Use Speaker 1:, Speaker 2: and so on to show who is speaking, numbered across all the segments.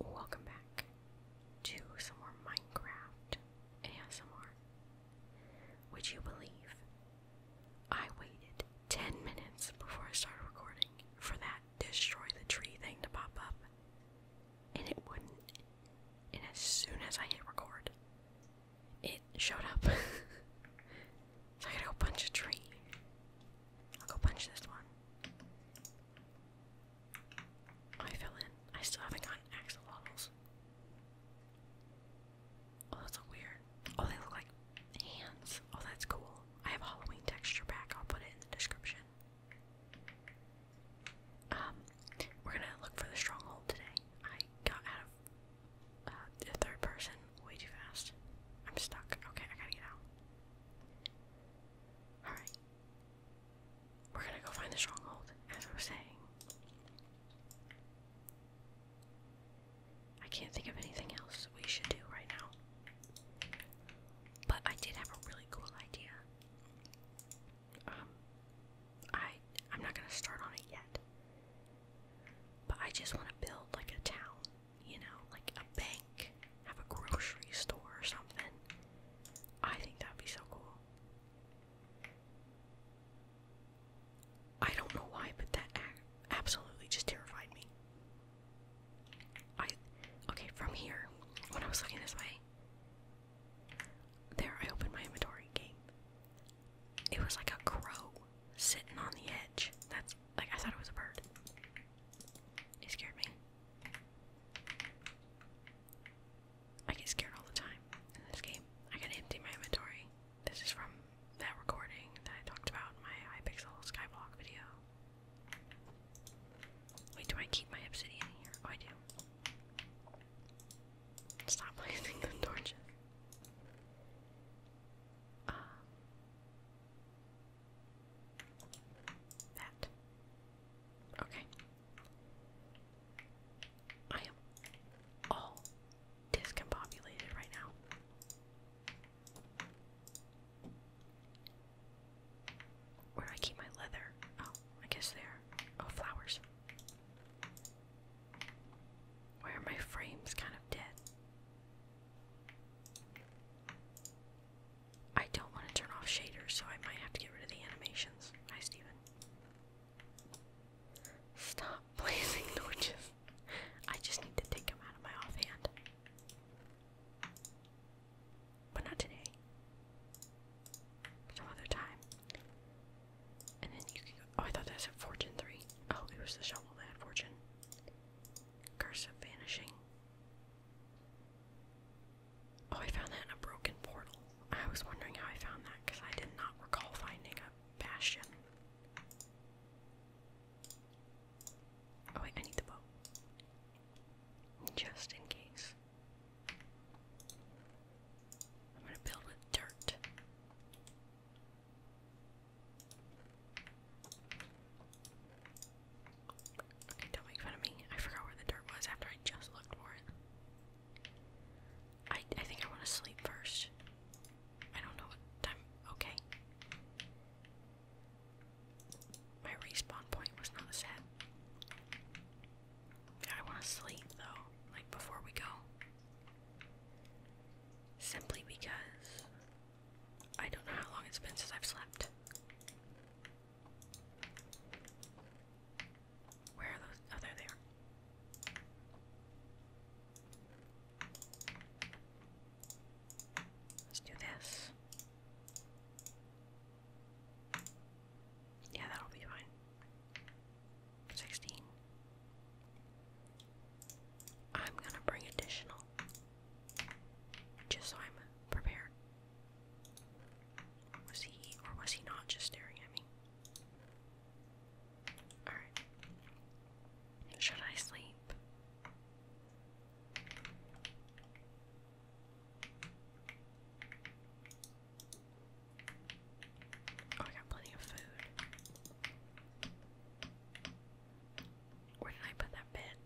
Speaker 1: Welcome back to some more Minecraft ASMR. Would you believe I waited 10 minutes before I started recording for that destroy the tree thing to pop up? And it wouldn't. And as soon as I hit record, it showed up. so I gotta go punch a tree. I'll go punch this one. I fell in. I still haven't gotten axolotls. Oh, that's weird. Oh, they look like hands. Oh, that's cool. I have Halloween texture pack. I'll put it in the description. Um, we're gonna look for the stronghold today. I got out of uh, the third person way too fast. I'm stuck. Okay, I gotta get out. Alright. We're gonna go find the stronghold, as we're saying. I can't think of anything else we should do right now. But I did have a really cool idea. Um, I I'm not gonna start on it yet. But I just want to build like a town, you know, like a bank have a grocery store or something. I think that'd be so cool. I don't know why, but that absolutely just terrified me. I okay, from here, when I was looking this way, there I opened my inventory game. It was like a crow sitting on the edge. That's like I thought it was a bird. It scared me. I get scared all the time in this game. I gotta empty my inventory. This is from that recording that I talked about in my Hypixel Skyblock video. Wait, do I keep my obsidian here? Oh, I do. Stop placing the torches. That. Okay. I am all discombobulated right now. Where do I keep my leather? Oh, I guess there. Oh, flowers. Where my frame's kind of dead. I don't want to turn off shaders, so I might have to get rid of the animations. Hi, Steven. Stop blazing torches. I just need to take them out of my offhand. But not today. Some other time. And then you can go. Oh, I thought that said Fortune 3. Oh, it was the shovel that Fortune. Curse of Vanishing. Oh, I found that in a broken portal. I was wondering how I found that because I did not recall finding a bastion. Oh, wait, I need the bow. Just in case. I'm gonna build with dirt don't make fun of me. I forgot where the dirt was after I just looked for it. I I think I want to sleep first. I don't know what time. Okay. My respawn point was not set. I want to sleep though, like before we go. Simply because I don't know how long it's been since I've slept. Where are those? Oh, there they are. Let's do this. Yeah, that'll be fine. 16. I'm gonna bring additional just so I'm prepared. Was he or was he not just staring at me? Alright. Should I sleep? Oh, I got plenty of food. Where did I put that bed?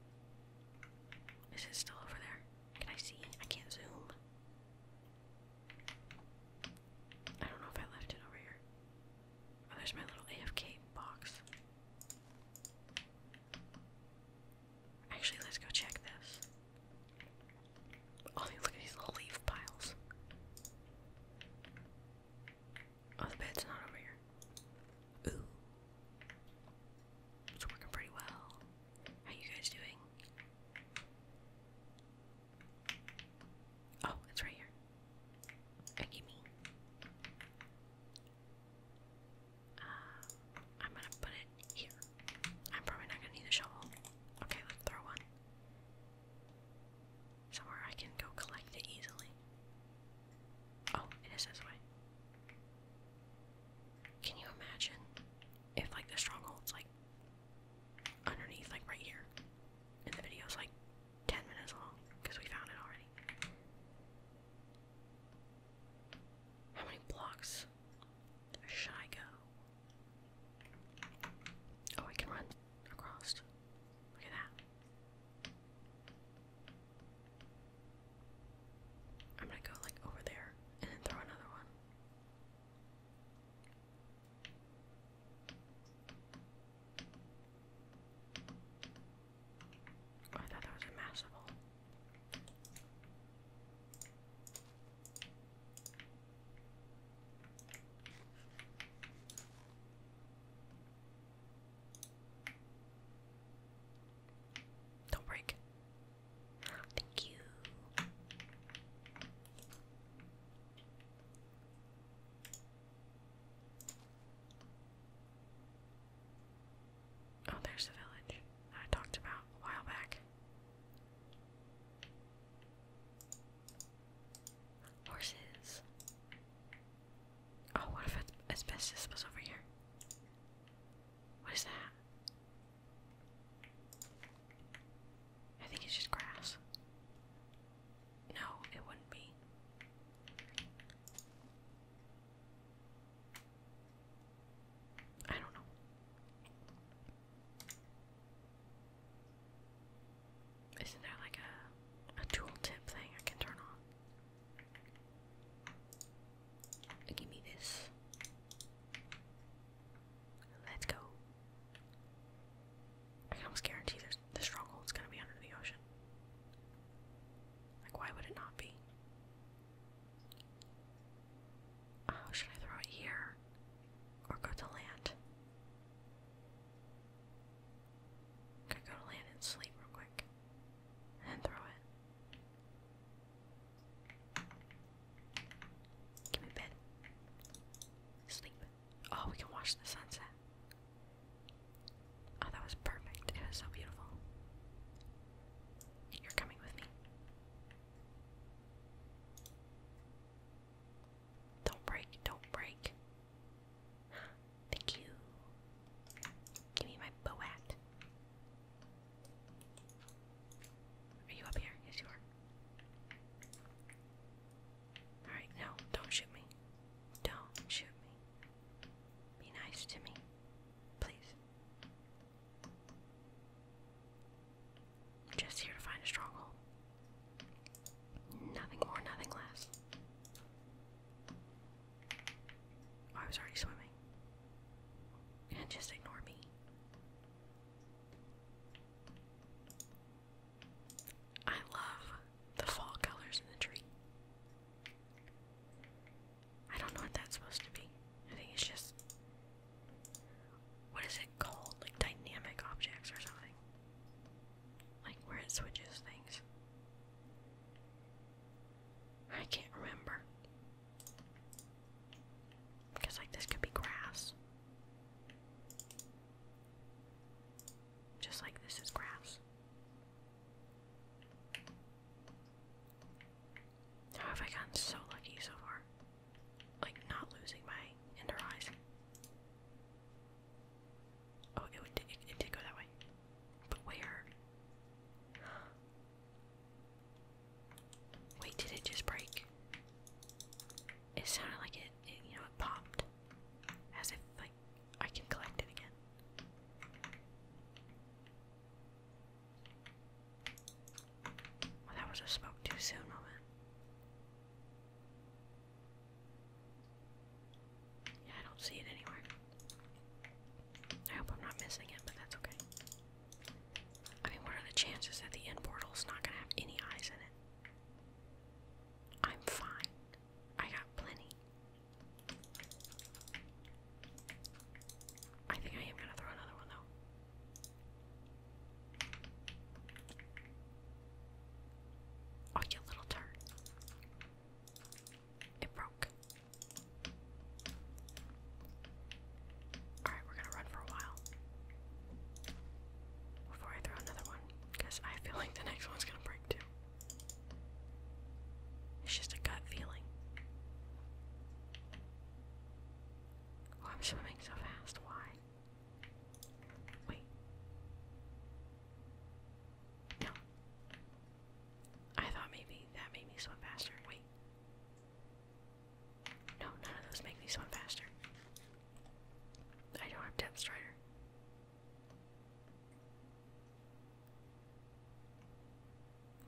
Speaker 1: Is it still over there? Can I see? I can't zoom. I don't know if I left it over here. Oh, there's my little AFK box. Actually, let's go check this. Oh, look at these little leaf piles. Oh, the bed's not over here. Ooh. It's working pretty well. How you guys doing? Oh, it's right here. Akimi. Uh, I'm gonna put it here. I'm probably not gonna need a shovel. Okay, let's throw one. Somewhere I can go collect it easily. Oh, it is this way. Can you imagine if like the stronghold's like underneath, like right here, and the video's like 10 minutes long because we found it already. How many blocks should I go? Oh, I can run across. Look at that. I'm gonna go like over there and then throw another one. Oh, I thought that was impossible. Don't break. Thank you. Oh, there's the village I talked about a while back. Horses. Oh, what if asbestos was over here? What is that? I think it's just grass. No, it wouldn't be. I don't know. Isn't there like a a tooltip thing I can turn on? Give me this. Let's go. I can almost guarantee there's the is gonna be under the ocean. Like, why would it not be? Oh, should I throw it here or go to land? Could go to land and sleep real quick, and throw it. Give me bed. Sleep. Oh, we can watch the sunset. Oh, that was perfect. It was so beautiful. You're coming with me. Don't break, don't break. Thank you. Give me my boat. Are you up here? Yes, you are. Alright, no, don't shoot me. Don't shoot me. Be nice to me. Please. i just here to find a stronghold. Nothing more, nothing less. Oh, I was already swimming. And just ignore me. I love the fall colors in the tree. I don't know what that's supposed to be. I think it's just. What is it called? Like dynamic objects or something. Like where it switches things. I can't remember. Because, like, this could be grass. Just like this is grass. How have I gotten so lucky so far? Like, not losing my ender eyes. Oh, it, would, it did go that way. But where? Wait, did it just break? It sounded like it, you know, it popped. As if, like, I can collect it again. that was a smoke too soon moment. Yeah, I don't see it anywhere. I hope I'm not missing it, but that's okay. I mean, what are the chances that the end is not gonna have any eyes in it? I'm fine. I got plenty. I think I am gonna throw another one though. Oh, you little turd. It broke. Alright, we're gonna run for a while. Before I throw another one, because I feel like the next one's gonna break too. It's just a gut feeling. Oh, I'm swimming so fast. Why? Wait. No. I thought maybe that made me swim faster. Wait. No, none of those make me swim faster. I don't have Depth Strider.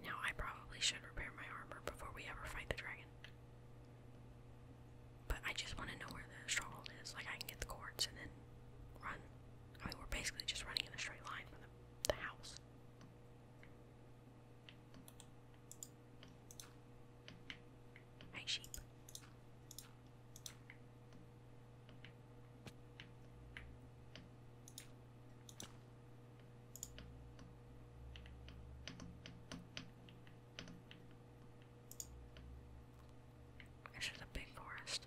Speaker 1: Now I probably should repair my armor before we ever fight the dragon. But I just want to know where the stronghold is. Like I can get the cords and then run. I mean, we're basically just running in a straight line from the, the house. Hi, sheep. This is a big forest.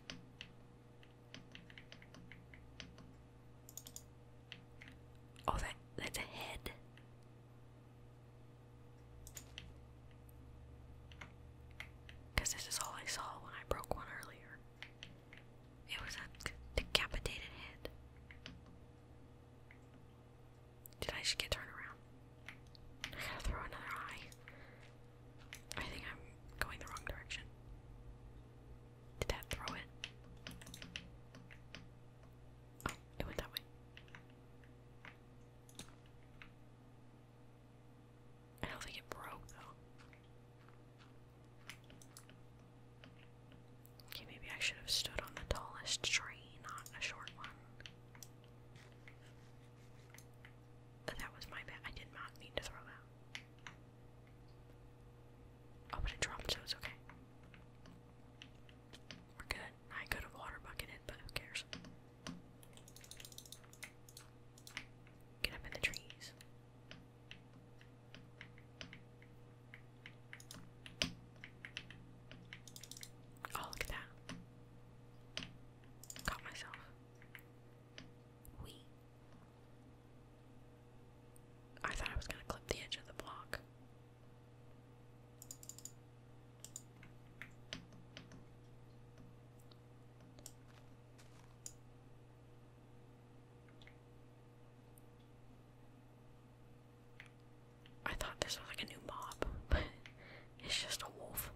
Speaker 1: Oh, that that's a head. Because this is all I saw when I broke one earlier. It was a decapitated head. Did I just get turned around? I gotta throw another eye. I think I'm going the wrong direction. Did that throw it? it went that way. I don't think it broke though. Okay, maybe I should have stood on the tallest tree, not a short one. But that was my bad. I did not mean to throw that. Oh, but it dropped, so it's okay. We're good. I could have water bucketed, but who cares? Get up in the trees. Oh, look at that. Caught myself. We. I thought I was gonna clip the edge of the block. I thought this was like a new mob, but it's just a wolf.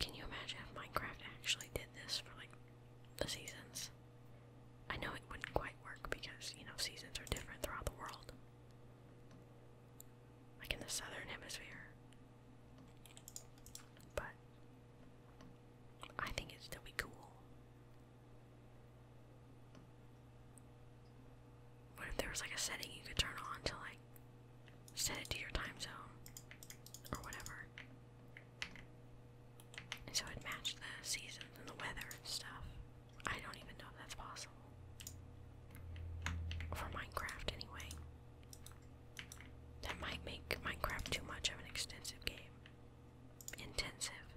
Speaker 1: Can you imagine if Minecraft actually did this for like the seasons? I know it wouldn't quite work because, you know, seasons are different throughout the world. Like in the southern hemisphere. But I think it'd still be cool. What if there was like a setting you could turn on to like set it to your time zone or whatever? So it matched the seasons and the weather and stuff. I don't even know if that's possible. For Minecraft, anyway. That might make Minecraft too much of an extensive game. Intensive.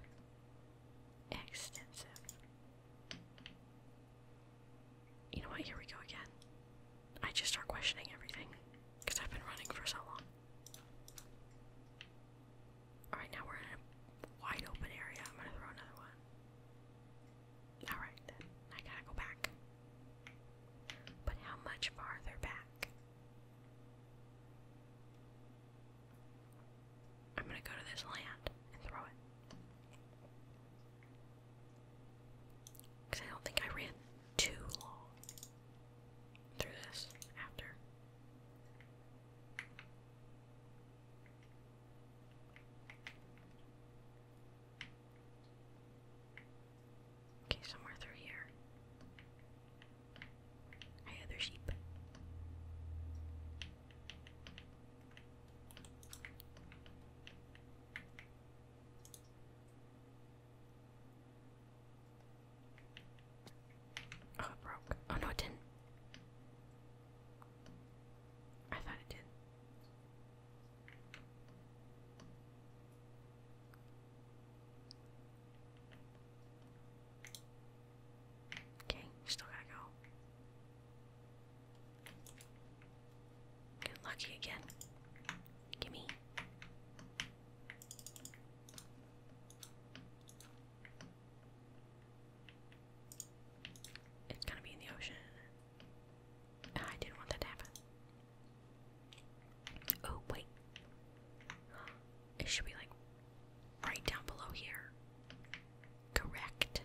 Speaker 1: Extensive. You know what? Here we go again. I just start questioning everything because I've been running for so long. Alright, now we're in a wide open area. I'm gonna throw another one. Alright, I gotta go back. But how much farther back? I'm gonna go to this land and throw it. Because I don't think I ran too long through this after. Okay, somewhere through here. Hey, other sheep. Oh, it broke. Oh no, it didn't. I thought it did. Okay, still gotta go. Get lucky again. Gimme. It's gonna be in the ocean. I didn't want that to happen. Oh, wait. It should be like right down below here. Correct.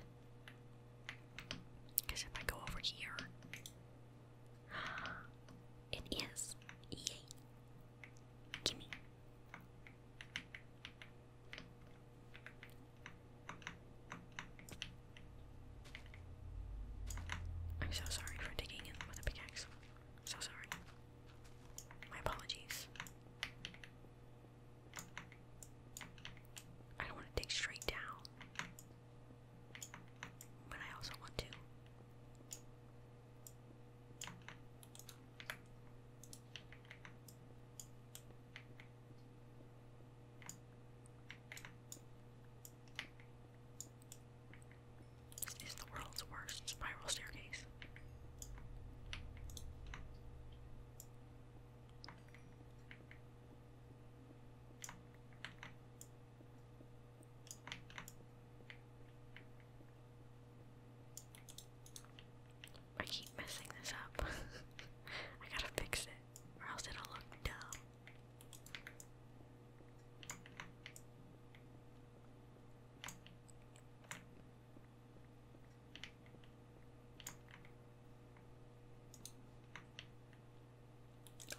Speaker 1: Because if I go over here, it is. Yay. Gimme. I'm so sorry for digging in with a pickaxe. So sorry. My apologies. I don't want to dig straight down. But I also want to this is the world's worst spiral staircase. I keep messing this up. I gotta fix it, or else it'll look dumb.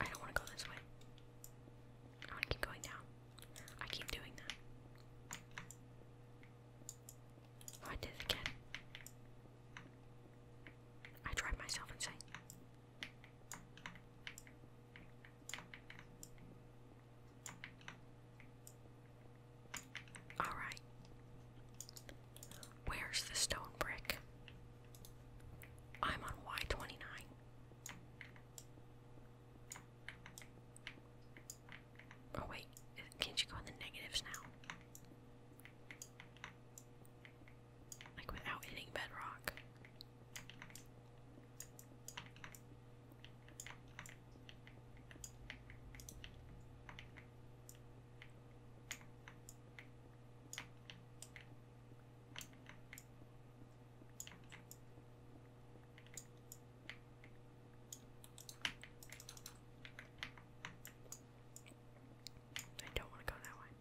Speaker 1: I don't want to go this way. I want to keep going down. I keep doing that. Oh, I did it again. I drive myself insane. Alright. Where's the stone brick? I'm on Y29. Oh wait, can't you go in the negatives now? Like without hitting bedrock. I don't want to go that way.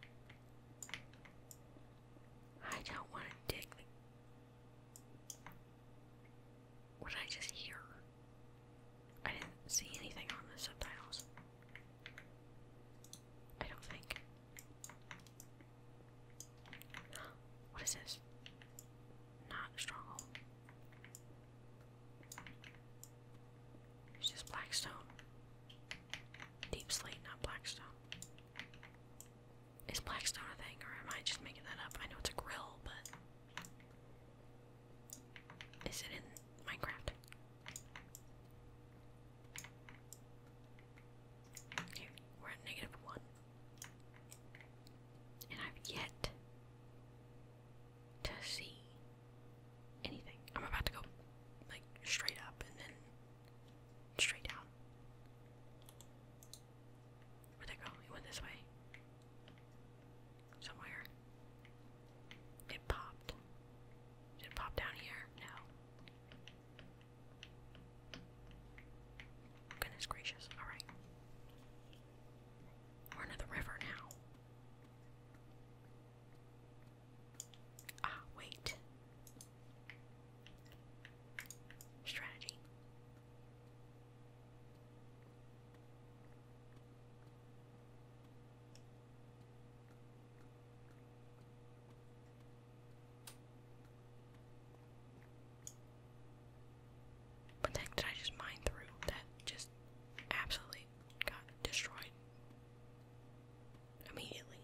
Speaker 1: I don't want to dig the... What did I just hear? I didn't see anything on the subtitles. I don't think. What is this? Not stronghold. It's just blackstone. Deep slate, not blackstone. Is blackstone a thing, or am I just making that up? I know it's a grill, but is it in Minecraft? we're at negative one. And I've yet to see anything. I'm about to go like straight up and then straight down. Where'd it go? It went this way. Somewhere. It popped. Did it pop down here? No. Goodness gracious. Alright. We're into the river now. Ah, wait. Strategy. What the heck did I just mine through? That just absolutely got destroyed immediately.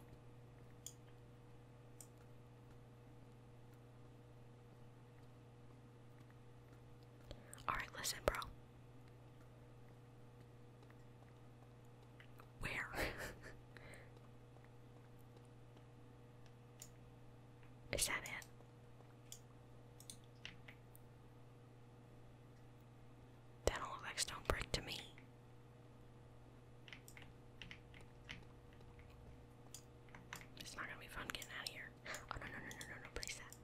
Speaker 1: Alright, listen, bro. Where? Is that it? That don't look like stone brick to me. It's not gonna be fun getting out of here. Oh no no no no no no place that.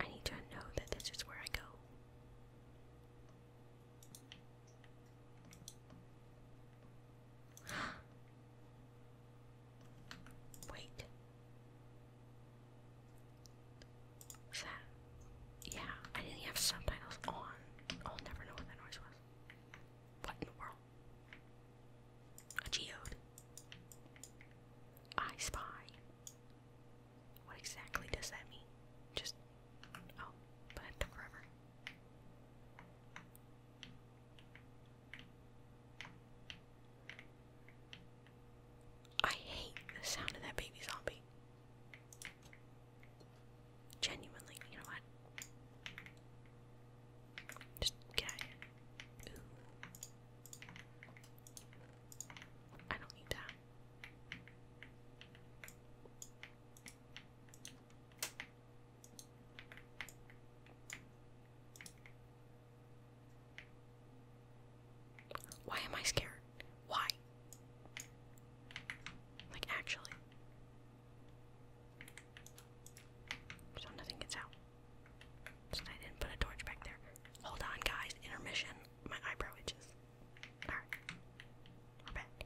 Speaker 1: I need to know that this is where I go. Wait. Was Yeah, I didn't have subtitles on. I'll never know what that noise was. What in the world? A I spy what exactly does that mean? Just. Oh, but it took forever. I hate the sound of that baby zombie. Genuinely, you know what? Just get I don't need that. Why am I scared? Why? Like, actually. So nothing gets out. So I didn't put a torch back there. Hold on, guys. Intermission my eyebrow itches. Alright. We're back.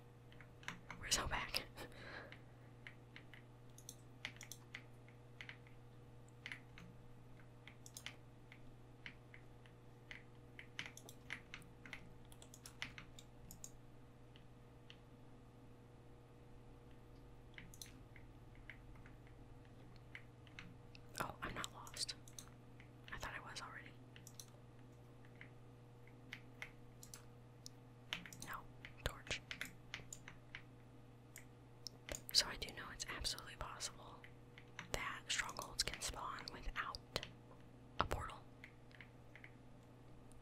Speaker 1: We're so back. Oh, I'm not lost. I thought I was already. No, torch. So I do know it's absolutely possible that strongholds can spawn without a portal.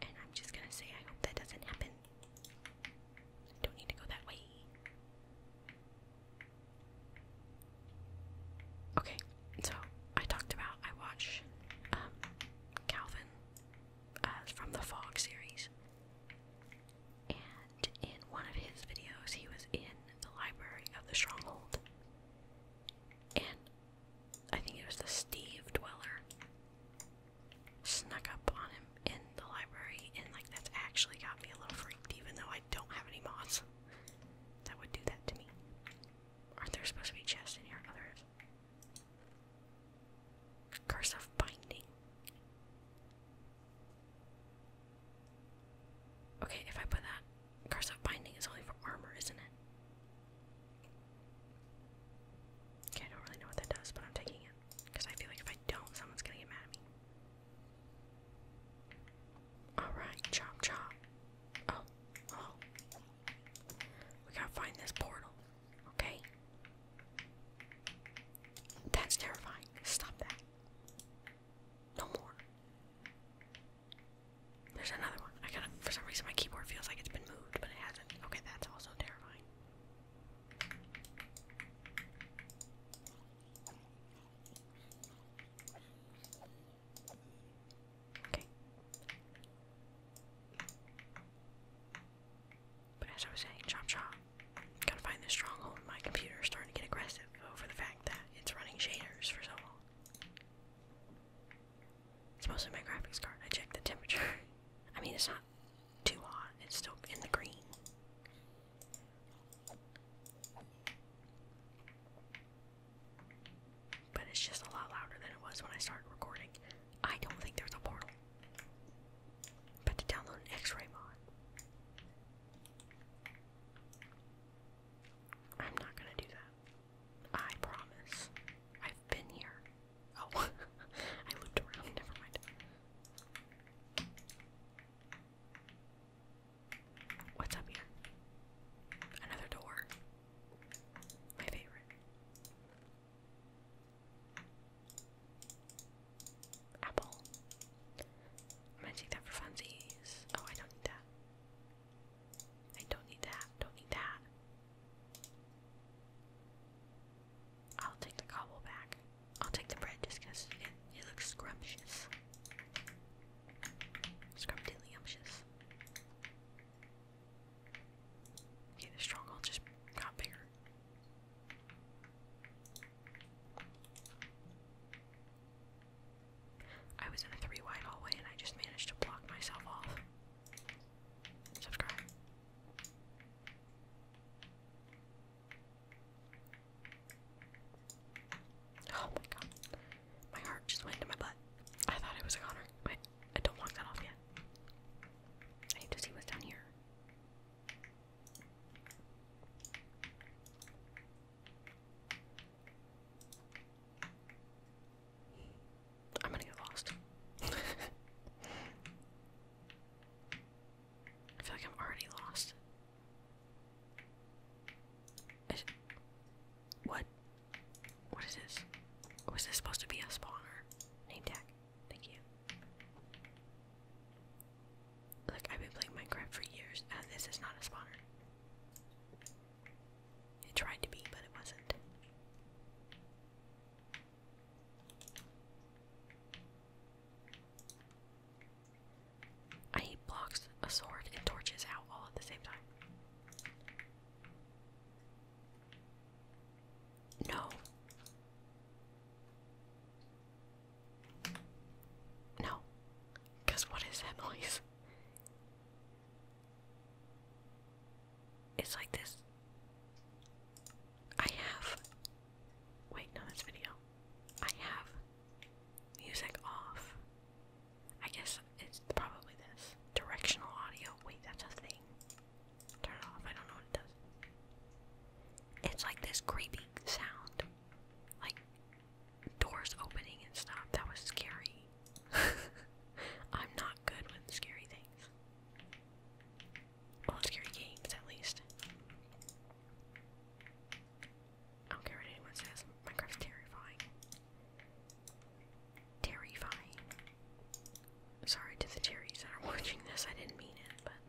Speaker 1: And I'm just gonna say I hope that doesn't happen. don't need to go that way. Okay, so I talked about I watch um, Calvin uh, from the Fog series, and in one of his videos, he was in the library of the Stronghold, and I think it was the Steve Dweller snuck up on him in the library, and like that's actually got me a little freaked, even though I don't have any mods that would do that to me. Aren't there supposed to be chests in here? Oh, Curse of Binding. Okay, if I put that, Curse of Binding is only for armor, isn't it? Okay, I don't really know what that does, but I'm taking it. Because I feel like if I don't, someone's gonna get mad at me. Alright, chop chop. Oh, hello. Oh. We gotta find this portal, okay? That's terrifying. Stop that. No more. There's another one. I gotta, for some reason, my keyboard feels like it's been moved, but it hasn't. Okay, that's also terrifying. But as I was saying, chop chop. Gotta find this stronghold. My computer's starting to get aggressive over the fact that it's running shaders for so long. It's mostly my graphics card. I checked the temperature. I mean, it's not too hot. It's still in the green. But it's just a lot louder than it was when I started recording. I don't think there's a portal. But to download an X-ray mod. I'm not gonna do that. I promise. I've been here. Oh, I looped around. Never mind. What's up here? Another door. My favorite. Apple. I'm gonna take that for funsies. Oh, I don't need that. I don't need that. Don't need that. I'll take the cobble back. I'll take the bread just because it looks scrumptious. Scrumdiddlyumptious. Okay, the stronghold just got bigger. I was in a three wide hallway and I just managed to block myself off. Subscribe. Oh my god. My heart just went into my butt. I thought it was a Connor. Wait, I don't lock that off yet. I need to see what's down here. I'm gonna get lost. I feel like I'm already lost what? What is this? Was this supposed to be a spawner? Name tag. Thank you. Like I've been playing Minecraft for years, and this is not a spawner. It tried to be, but it wasn't. I need blocks, a sword, and torches out all at the same time. No. No. Because what is that It's like this. I have. Wait, no, that's video. I have music off. I guess it's probably this. Directional audio. Wait, that's a thing. Turn it off. I don't know what it does. It's like this creepy sound. Like doors opening and stuff. That was scary. I'm not good with scary things. Well, scary games at least. I don't care what anyone says. Minecraft's terrifying. Terrifying. Sorry to the terries that are watching this. I didn't mean it, but.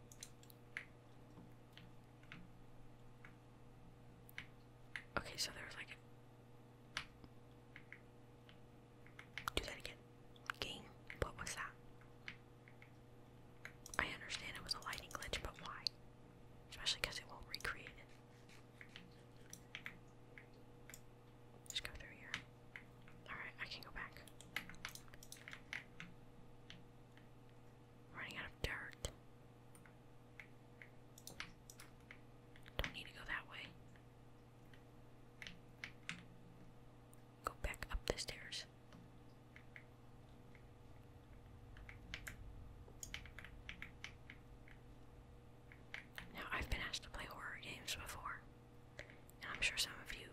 Speaker 1: Okay, so there's like. Do that again. Game. What was that? I understand it was a lighting glitch, but why? Especially because it won't recreate it. Just go through here. Alright, I can go back. Running out of dirt. Don't need to go that way. Go back up the stairs. Now, I've been asked to play horror games before, and I'm sure some of you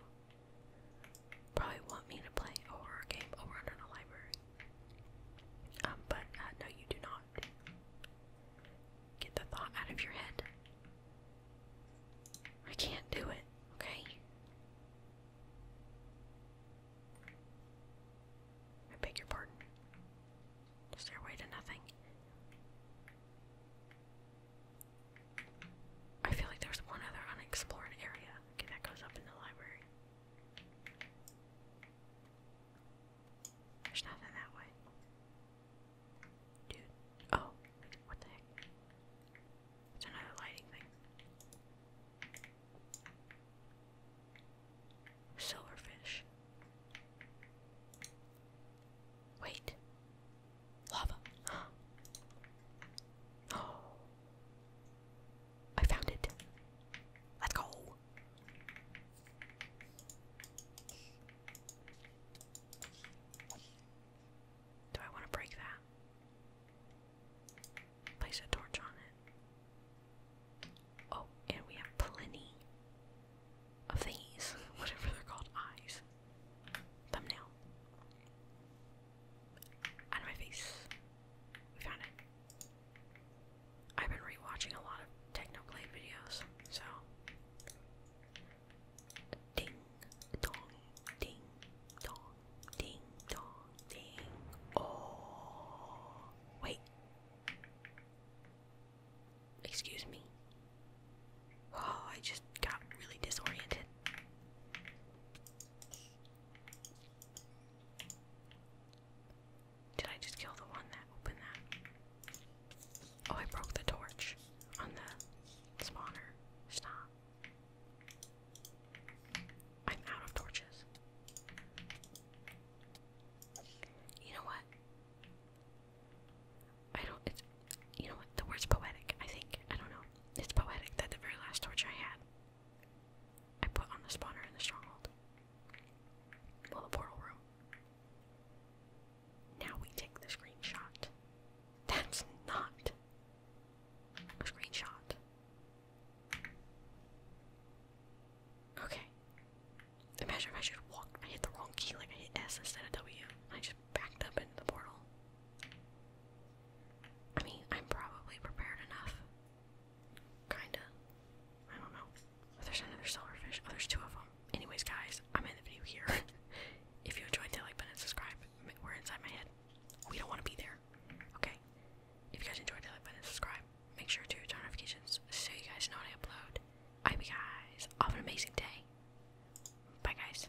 Speaker 1: probably want me to play a horror game over in a library. Um, but uh, no, you do not. Get the thought out of your head. I can't do it, okay? I beg your pardon. Stairway to nothing. I feel like there's one other unexplored area. Okay, that goes up in the library. There's nothing that way. Dude. Oh, what the heck? It's another lighting thing. Silverfish. Wait. Lava. oh. I found it. Let's go. Do I want to break that? Place a torch on it. Oh, and we have plenty of thingies, whatever they're called, eyes. Thumbnail. Out of my face. We found it. I've been rewatching a lot of Technoblade videos, so. Ding, dong, ding, dong, ding, dong, ding. Oh, wait. Excuse me. Oh, I just got really disoriented. Did I just kill the one that opened that? Oh, I broke the torch on the spawner. Stop. I'm out of torches. You know what? I don't. It's. You know what? The word's poetic. I think. I don't know. It's poetic that the very last torch I had, I put on the spawner in the stronghold. Well, the portal room. Now we take the screenshot. That's not a screenshot. Okay. Imagine if I should walk. I hit the wrong key, like I hit S instead of W. I just backed up into the portal. I mean, I'm probably prepared enough. Kinda. I don't know. There's another silverfish. Oh, there's two of them. Anyways, guys, I'm in the video here. if you enjoyed, hit like button and subscribe. We're inside my head. We don't want to be there. Okay. If you guys enjoyed, hit like button and subscribe. Make sure to turn notifications so you guys know when I upload. I hope you guys have an amazing day. Bye, guys.